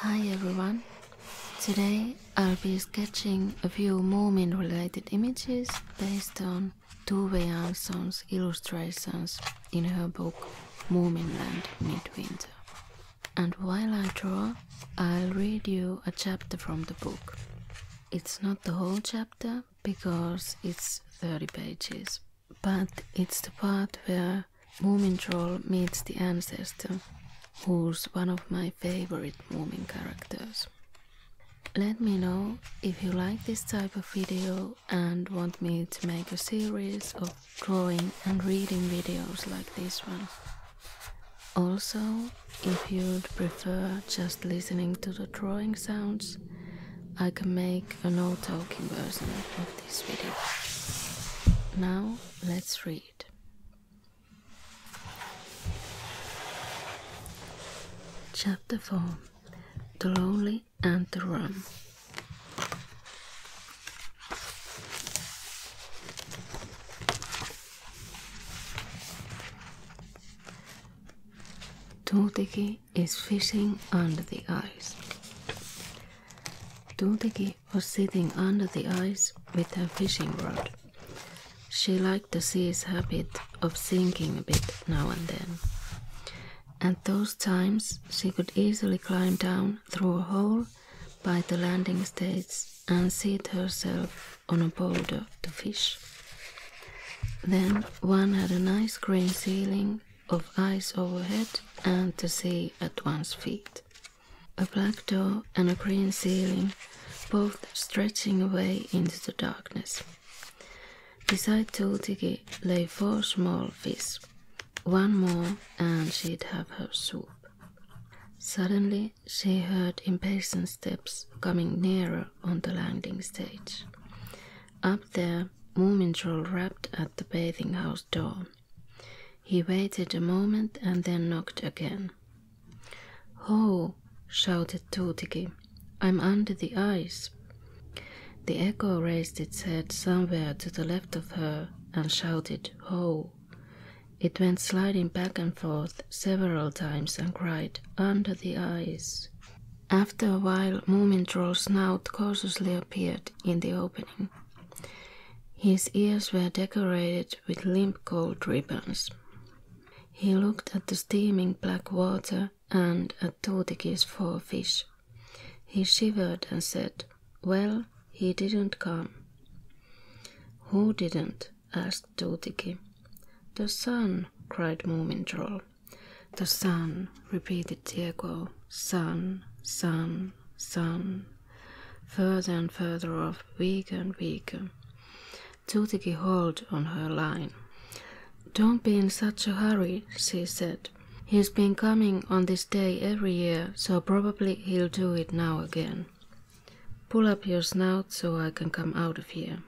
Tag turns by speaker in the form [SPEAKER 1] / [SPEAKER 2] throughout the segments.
[SPEAKER 1] Hi everyone! Today I'll be sketching a few Moomin related images based on Tuve Jansson's illustrations in her book Moominland Midwinter and while I draw, I'll read you a chapter from the book. It's not the whole chapter because it's 30 pages, but it's the part where Moomin Troll meets the ancestor, who's one of my favorite Moomin characters. Let me know if you like this type of video and want me to make a series of drawing and reading videos like this one. Also, if you'd prefer just listening to the drawing sounds, I can make a no talking version of this video. Now, let's read. Chapter 4 The Lonely and the Rum. Tuteki is fishing under the ice. Tuteki was sitting under the ice with her fishing rod. She liked the sea's habit of sinking a bit now and then. And those times she could easily climb down through a hole by the landing stage and seat herself on a boulder to fish. Then one had a nice green ceiling of ice overhead and the sea at one's feet. A black door and a green ceiling, both stretching away into the darkness. Beside Tultigi lay four small fish. One more, and she'd have her soup. Suddenly, she heard impatient steps coming nearer on the landing stage. Up there, Moomin rapped at the bathing house door. He waited a moment and then knocked again. Ho! shouted Tuutiki. I'm under the ice. The echo raised its head somewhere to the left of her and shouted Oh, It went sliding back and forth several times and cried, Under the ice. After a while, Moomin Troll's snout cautiously appeared in the opening. His ears were decorated with limp gold ribbons. He looked at the steaming black water and at Tuutiki's four fish. He shivered and said, well, he didn't come. Who didn't? asked Tutiki. The sun, cried Moomin The sun, repeated Diego. Sun, sun, sun. Further and further off, weaker and weaker. Tutiki held on her line. Don't be in such a hurry, she said. He's been coming on this day every year, so probably he'll do it now again. Pull up your snout so I can come out of here.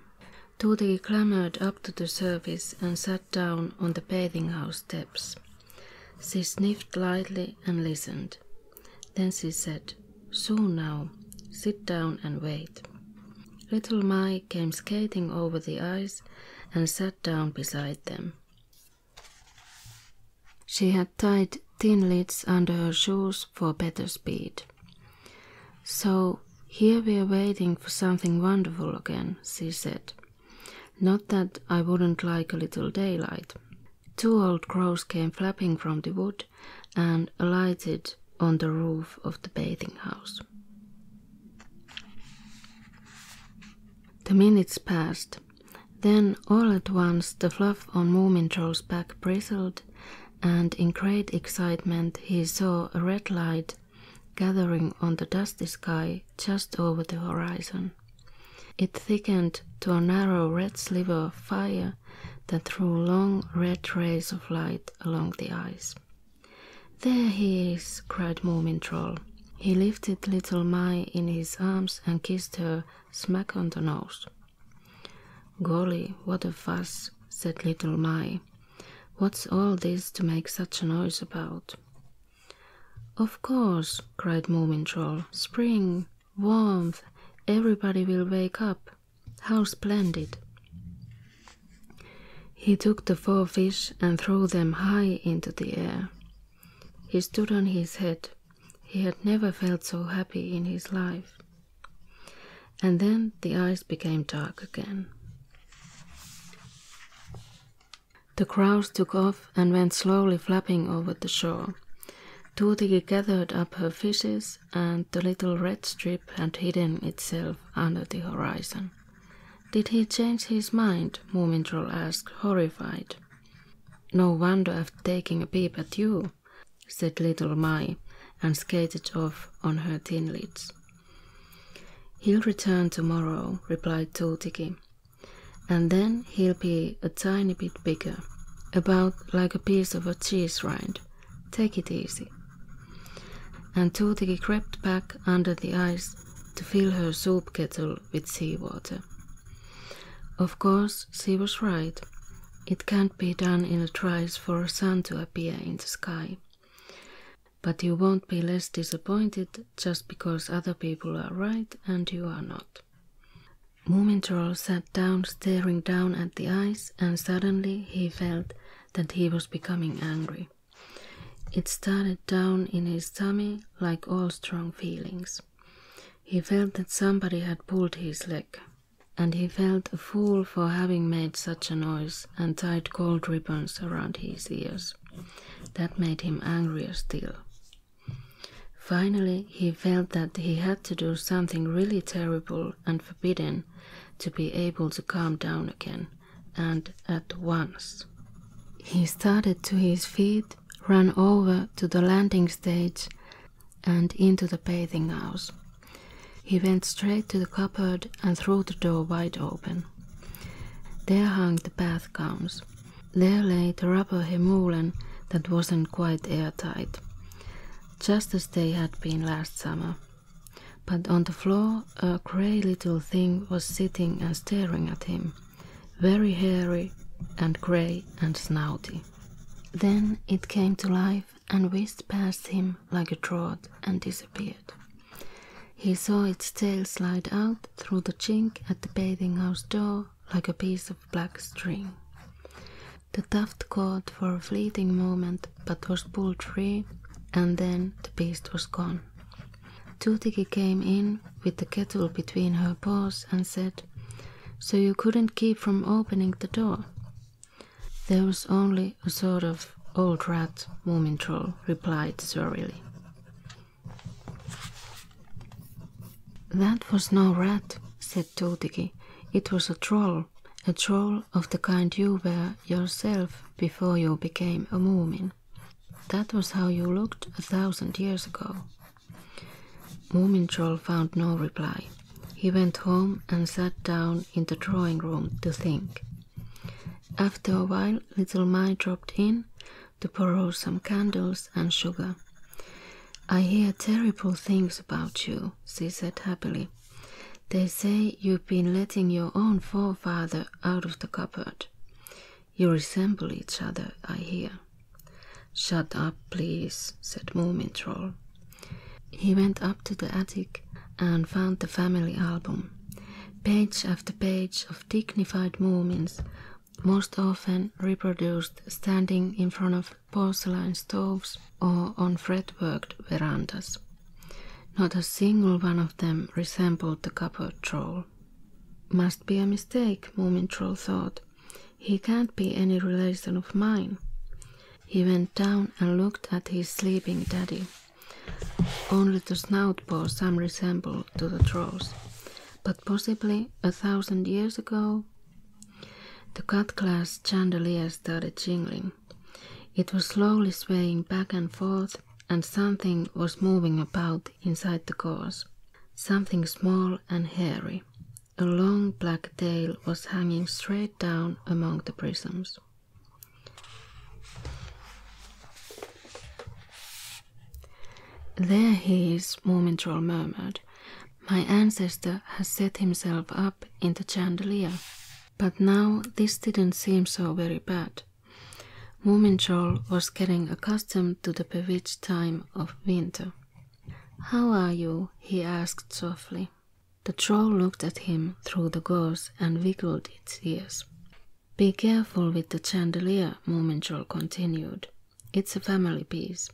[SPEAKER 1] Tuti clambered up to the surface and sat down on the bathing house steps. She sniffed lightly and listened. Then she said, "So now, sit down and wait. Little Mai came skating over the ice and sat down beside them. She had tied tin lids under her shoes for better speed. So here we're waiting for something wonderful again, she said. Not that I wouldn't like a little daylight. Two old crows came flapping from the wood and alighted on the roof of the bathing house. The minutes passed. Then all at once the fluff on Moomintroll's back bristled, and in great excitement he saw a red light gathering on the dusty sky just over the horizon. It thickened to a narrow red sliver of fire that threw long red rays of light along the ice. There he is, cried Moomin Troll. He lifted little Mai in his arms and kissed her smack on the nose. Golly, what a fuss, said little Mai. What's all this to make such a noise about? Of course, cried Moomin Troll. Spring, warmth, everybody will wake up. How splendid! He took the four fish and threw them high into the air. He stood on his head, he had never felt so happy in his life. And then the eyes became dark again. The crows took off and went slowly flapping over the shore. Tuutiki gathered up her fishes, and the little red strip had hidden itself under the horizon. Did he change his mind? Moomintroll asked, horrified. No wonder after taking a peep at you, said little Mai, and skated off on her thin legs. He'll return tomorrow, replied Tuutiki, and then he'll be a tiny bit bigger, about like a piece of a cheese rind. Take it easy. And Tuutiki crept back under the ice to fill her soup kettle filled with seawater. Of course, she was right. It can't be done in a trice for a sun to appear in the sky. But you won't be less disappointed just because other people are right and you are not. Moomin sat down staring down at the ice and suddenly he felt that he was becoming angry. It started down in his tummy like all strong feelings. He felt that somebody had pulled his leg, and he felt a fool for having made such a noise and tied gold ribbons around his ears. That made him angrier still. Finally, he felt that he had to do something really terrible and forbidden to be able to calm down again, and at once. He started to his feet ran over to the landing stage and into the bathing house. He went straight to the cupboard and threw the door wide open. There hung the bath gowns. There lay the rubber hemulen that wasn't quite airtight, just as they had been last summer. But on the floor, a grey little thing was sitting and staring at him very hairy and grey and snouty. Then it came to life and whizzed past him like a trout and disappeared. He saw its tail slide out through the chink at the bathing house door like a piece of black string. The tuft caught for a fleeting moment but was pulled free, and then the beast was gone. Tutiki came in with the kettle between her paws and said, so you couldn't keep from opening the door. There was only a sort of old rat, Moomin Troll replied surlily. That was no rat, said Tuutiki. It was a troll, a troll of the kind you were yourself before you became a Moomin. That was how you looked a thousand years ago. Moomin Troll found no reply. He went home and sat down in the drawing room to think. After a while, Little Mai dropped in to borrow some candles and sugar. I hear terrible things about you, she said happily. They say you've been letting your own forefather out of the cupboard. You resemble each other, I hear. Shut up, please, said Moomin He went up to the attic and found the family album. Page after page of dignified Moomins, most often reproduced standing in front of porcelain stoves or on fret-worked verandas. Not a single one of them resembled the Copper troll. Must be a mistake, Moomin thought. He can't be any relation of mine. He went down and looked at his sleeping daddy. Only the snout bore some resemblance to the troll's, but possibly a thousand years ago. The cut glass chandelier started jingling. It was slowly swaying back and forth, and something was moving about inside the gauze, something small and hairy a long black tail was hanging straight down among the prisms. There he is, Moomin murmured. My ancestor has set himself up in the chandelier. But now this didn't seem so very bad. Moomin was getting accustomed to the bewitched time of winter. How are you? he asked softly. The troll looked at him through the gauze and wiggled its ears. Be careful with the chandelier, Moomin continued. It's a family piece.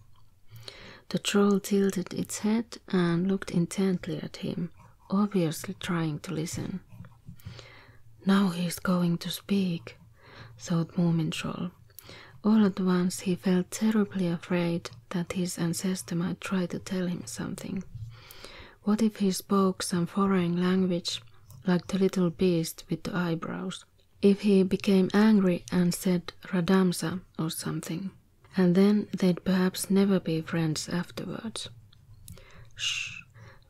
[SPEAKER 1] The troll tilted its head and looked intently at him, obviously trying to listen. Now he's going to speak, thought Moomin all at once he felt terribly afraid that his ancestor might try to tell him something. What if he spoke some foreign language, like the little beast with the eyebrows? If he became angry and said Radamsa or something, and then they'd perhaps never be friends afterwards. Sh!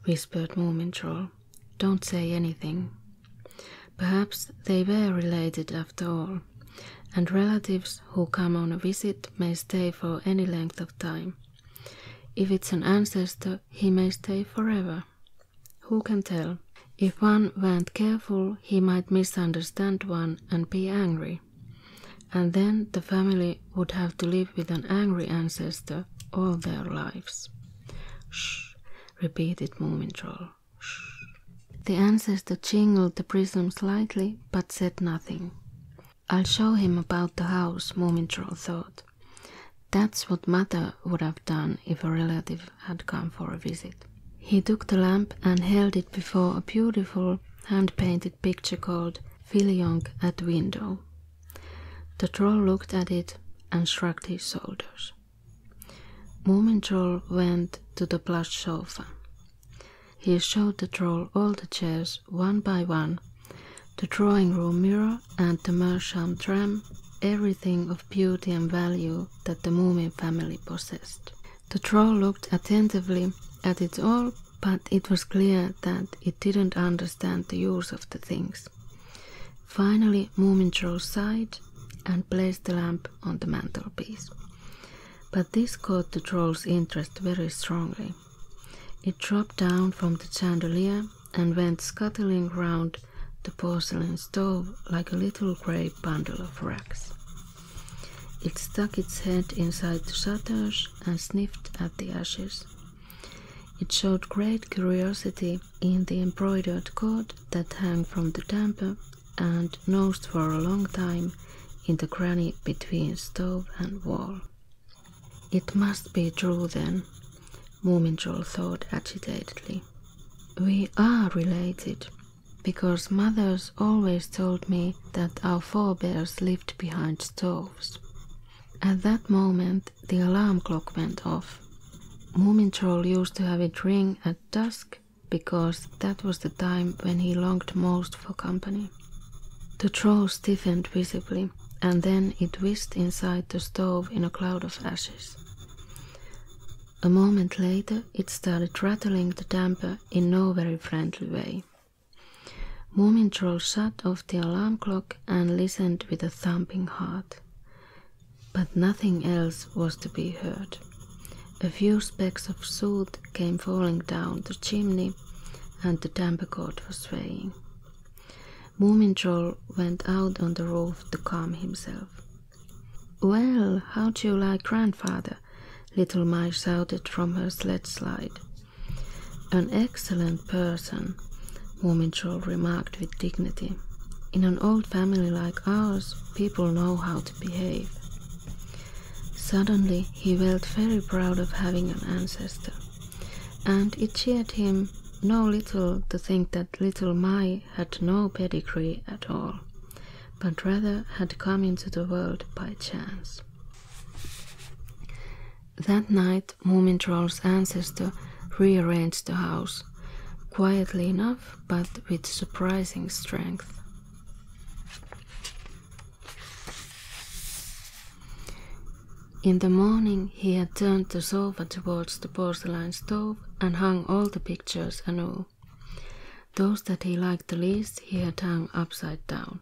[SPEAKER 1] whispered Moomin Don't say anything. Perhaps they were related after all, and relatives who come on a visit may stay for any length of time. If it's an ancestor, he may stay forever. Who can tell? If one weren't careful, he might misunderstand one and be angry. And then the family would have to live with an angry ancestor all their lives. Sh! repeated Moomin the ancestor jingled the prism slightly, but said nothing. I'll show him about the house, Mumintrol thought. That's what mother would have done if a relative had come for a visit. He took the lamp and held it before a beautiful hand painted picture called Filiong at Window. The troll looked at it and shrugged his shoulders. Mom went to the plush sofa. He showed the troll all the chairs one by one, the drawing room mirror and the Mersham tram, everything of beauty and value that the Moomin family possessed. The troll looked attentively at it all, but it was clear that it didn't understand the use of the things. Finally, Moomin sighed and placed the lamp on the mantelpiece. But this caught the troll's interest very strongly. It dropped down from the chandelier and went scuttling round the porcelain stove like a little grey bundle of rags. It stuck its head inside the shutters and sniffed at the ashes. It showed great curiosity in the embroidered cord that hung from the damper and nosed for a long time in the cranny between stove and wall. It must be true then, Moominjol thought agitatedly. We are related, because mothers always told me that our forebears lived behind stoves. At that moment, the alarm clock went off. Moominjol used to have it ring at dusk because that was the time when he longed most for company. The troll stiffened visibly, and then it whisked inside the stove in a cloud of ashes. A moment later, it started rattling the damper in no very friendly way. Moomin shut off the alarm clock and listened with a thumping heart but nothing else was to be heard. A few specks of soot came falling down the chimney, and the damper cord was swaying. Moomin went out on the roof to calm himself. Well, how do you like grandfather? Little Mai shouted from her sled slide. An excellent person, Moomin remarked with dignity. In an old family like ours, people know how to behave. Suddenly he felt very proud of having an ancestor, and it cheered him no little to think that little Mai had no pedigree at all, but rather had come into the world by chance. That night, Moomin ancestor rearranged the house. Quietly enough, but with surprising strength. In the morning, he had turned the sofa towards the porcelain stove and hung all the pictures anew. Those that he liked least he had hung upside down.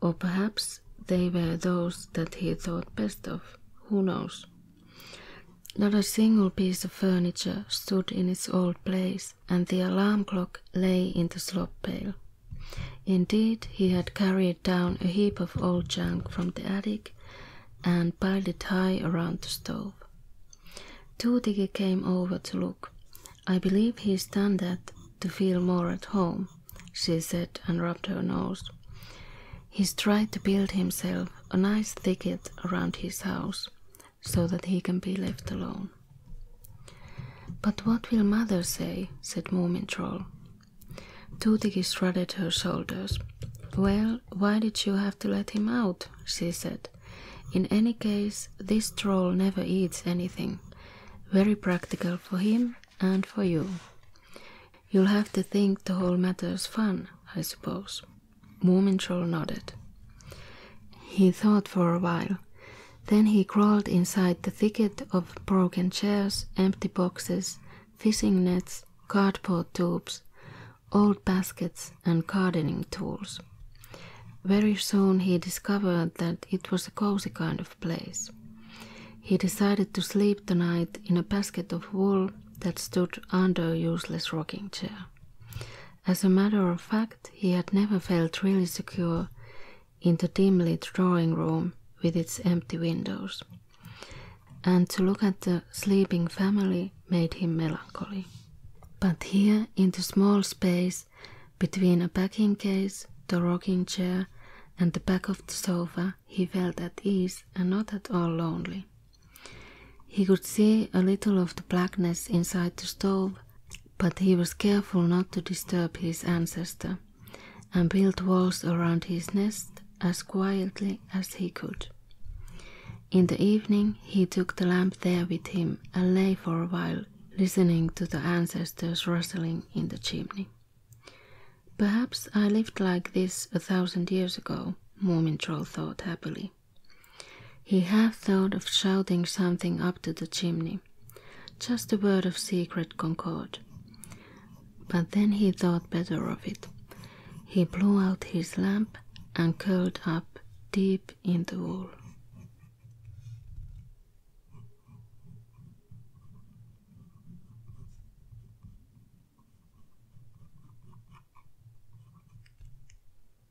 [SPEAKER 1] Or perhaps they were those that he thought best of. Who knows? Not a single piece of furniture stood in its old place, and the alarm clock lay in the slop pail. Indeed, he had carried down a heap of old junk from the attic and piled it high around the stove. Tootiggy came over to look. I believe he's done that to feel more at home, she said and rubbed her nose. He's tried to build himself a nice thicket around his house, so that he can be left alone. But what will mother say? said Moomin Troll. Tootie shrugged her shoulders. Well, why did you have to let him out? she said. In any case, this troll never eats anything. Very practical for him and for you. You'll have to think the whole matter's fun, I suppose. Mormon Troll nodded. He thought for a while. Then he crawled inside the thicket of broken chairs, empty boxes, fishing nets, cardboard tubes, old baskets, and gardening tools. Very soon he discovered that it was a cozy kind of place. He decided to sleep the night in a basket of wool that stood under a useless rocking chair. As a matter of fact, he had never felt really secure in the dimly drawing room with its empty windows, and to look at the sleeping family made him melancholy. But here, in the small space between a packing case, the rocking chair, and the back of the sofa, he felt at ease and not at all lonely. He could see a little of the blackness inside the stove, but he was careful not to disturb his ancestor, and built walls around his nest as quietly as he could. In the evening, he took the lamp there with him and lay for a while, listening to the ancestors rustling in the chimney. Perhaps I lived like this a thousand years ago, Moomin thought happily. He half thought of shouting something up to the chimney, just a word of secret concord. But then he thought better of it. He blew out his lamp and curled up deep in the wool.